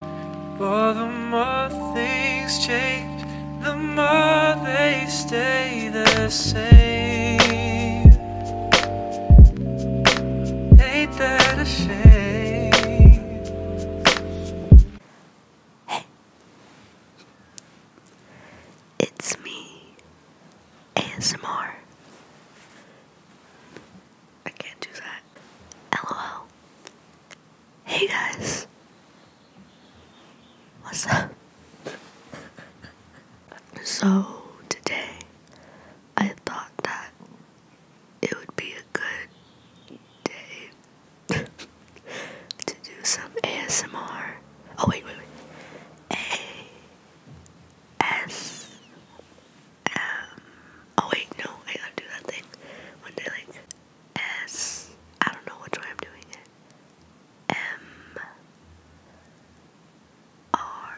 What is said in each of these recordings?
For the more things change, the more they stay the same. Hey, it's me, ASMR. I can't do that. LOL. Hey guys, what's up? so, today I thought that it would be a good day to do some ASMR. Oh, wait, wait, wait. A S um, oh wait, no, I gotta do that thing when they like S, I don't know which way I'm doing it, M, R,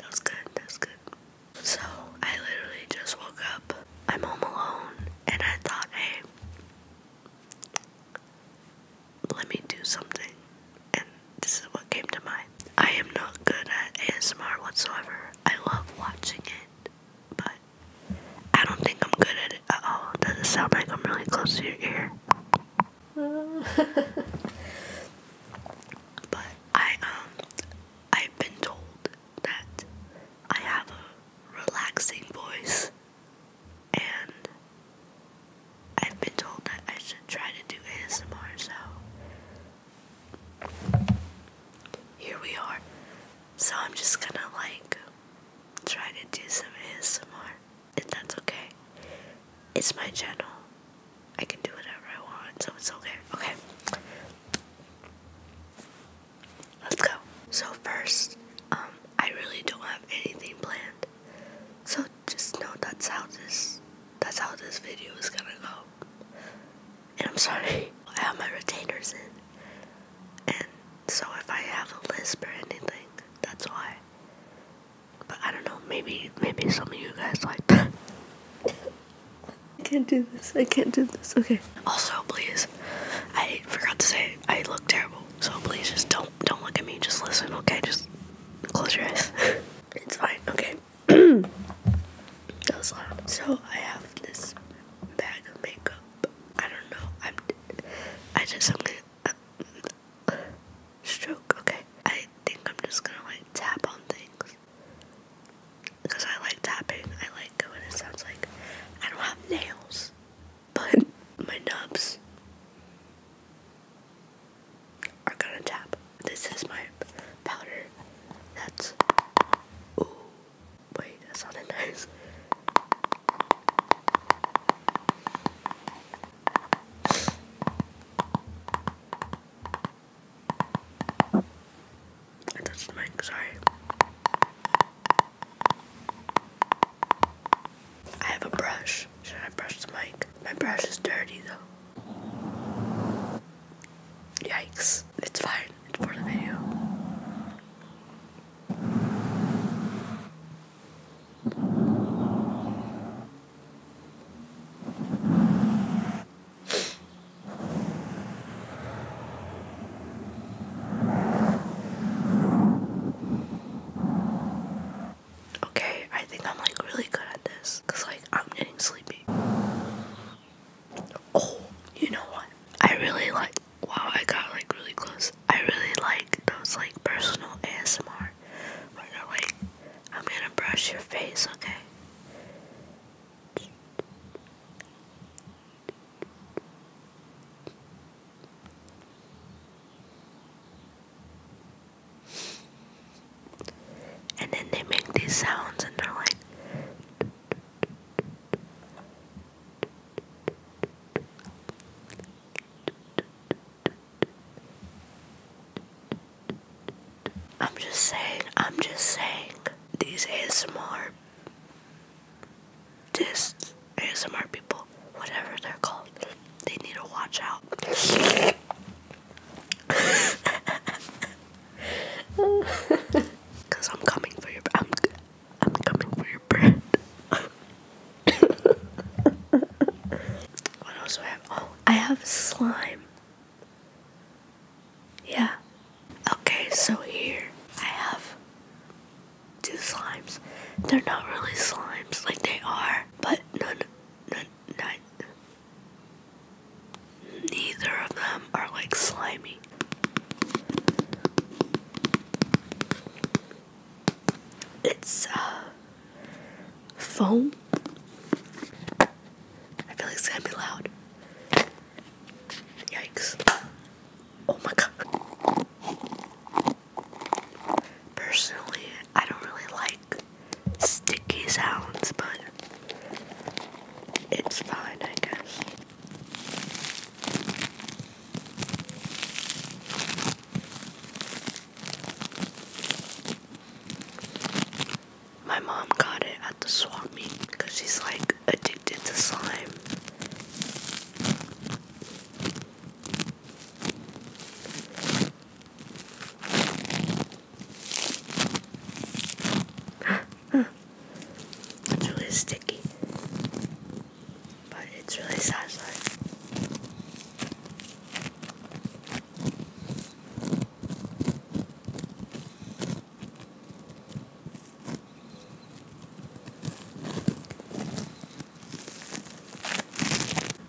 that good, that good. So, I literally just woke up, I'm home alone, and I thought, hey, let me do something, this is what came to mind. I am not good at ASMR whatsoever. I love watching it, but I don't think I'm good at it at all. Does it sound like I'm really close to your ear? but I um I've been told that I have a relaxing voice and I've been told that I should try to do ASMR so here we are. So I'm just gonna like try to do some ASMR, if that's okay. It's my channel. I can do whatever I want, so it's okay. Okay. Let's go. So first, um, I really don't have anything planned. So just know that's how this that's how this video is gonna go. And I'm sorry, I have my retainers in. And so if I have a lisp or anything, that's why. But I don't know, maybe maybe some of you guys like that. I can't do this, I can't do this, okay. Also please, I forgot to say I look terrible, so please just don't don't look at me, just listen, okay? Just close your eyes. it's fine, okay. So I have this bag of makeup. I don't know. I'm. I just I'm gonna stroke. Okay. I think I'm just gonna like tap on things because I like tapping. I like it when it sounds like I don't have nails, but my nubs are gonna tap. This is my powder. That's. Ooh. Wait, that sounded nice. I touched the mic, sorry. I have a brush. Should I brush the mic? My brush is dirty though. Yikes, it's fine for the video. Okay, I think I'm like really good at this because like I'm getting sleepy. Oh, you know what? I really like. Wow, I got like really close. I really like those like personal ASMR where they're like, I'm gonna brush your face, okay? And then they make these sounds and they're like I'm just saying, I'm just saying, these ASMR, this ASMR people, whatever they're called, they need to watch out. Cause I'm coming for your i I'm coming for your bread. what else do I have? Oh, I have slime. Yeah. Okay, so here I have two slimes. They're not really slimes, like they are, but none neither of them are like slimy. It's uh foam. I feel like it's gonna be loud. Yikes. Oh my god. Personally, I don't really like sticky sounds, but it's fine, I guess. My mom got it at the swap meet because she's like addicted to slime. it's really sticky, but it's really satisfying.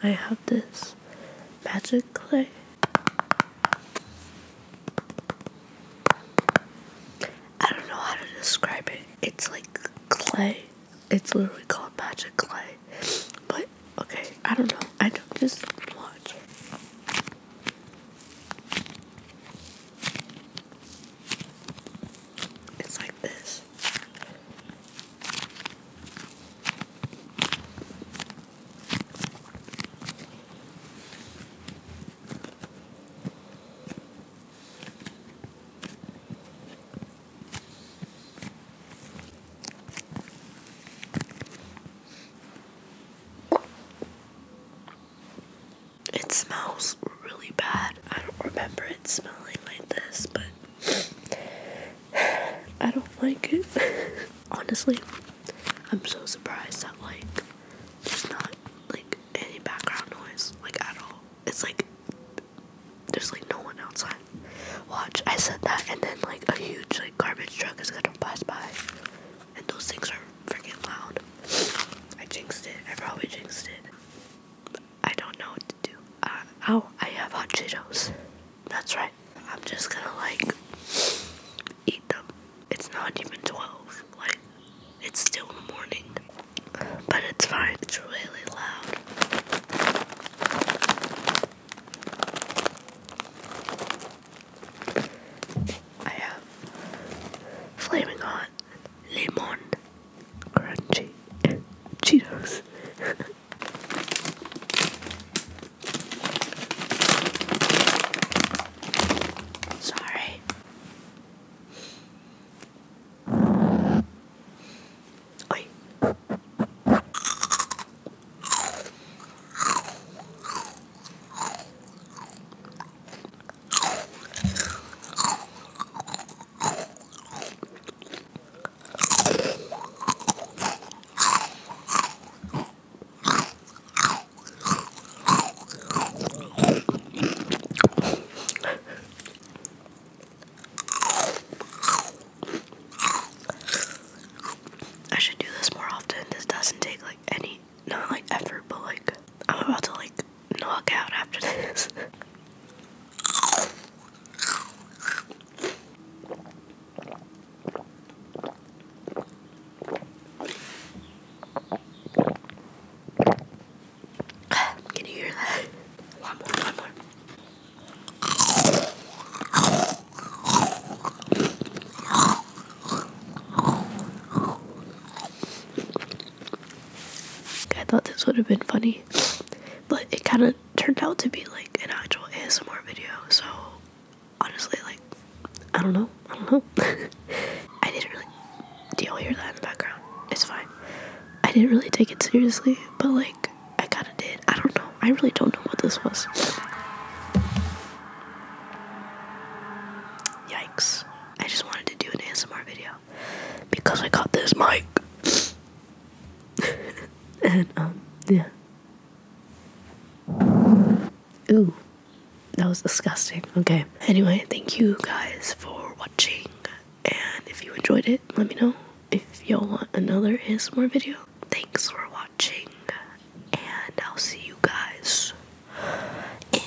I have this magic clay. I don't know how to describe it. It's like clay. It's literally called magic clay. But okay, I don't know. I don't just watch. It's like this. It smells really bad. I don't remember it smelling like this, but I don't like it. Honestly, I'm so surprised that like there's not like any background noise like at all. It's like there's like no one outside. Watch, I said that and then like a huge like garbage truck is gonna pass by. And those things are freaking loud. I jinxed it. I probably jinxed it. I don't know do. Uh, oh, I have hot Cheetos. That's right. I'm just gonna like eat them. It's not even 12. Like, it's still in the morning. But it's fine. It's really loud. I have flaming hot lemon crunchy Cheetos. Sorry. Oi. I should do this more often. This doesn't take like any, not like effort, but like I'm about to like Knock out after this. Can you hear that? I thought this would have been funny, but it kind of turned out to be like an actual ASMR video. So honestly, like I don't know, I don't know. I didn't really. Do y'all hear that in the background? It's fine. I didn't really take it seriously, but like I kind of did. I don't know. I really don't know what this was. Yikes! I just wanted to do an ASMR video because I got this mic. and um, yeah. Ooh. That was disgusting. Okay. Anyway, thank you guys for watching. And if you enjoyed it, let me know if y'all want another is more video. Thanks for watching, and I'll see you guys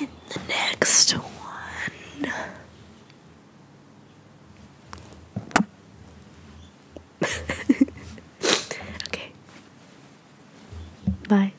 in the next one. okay. Bye.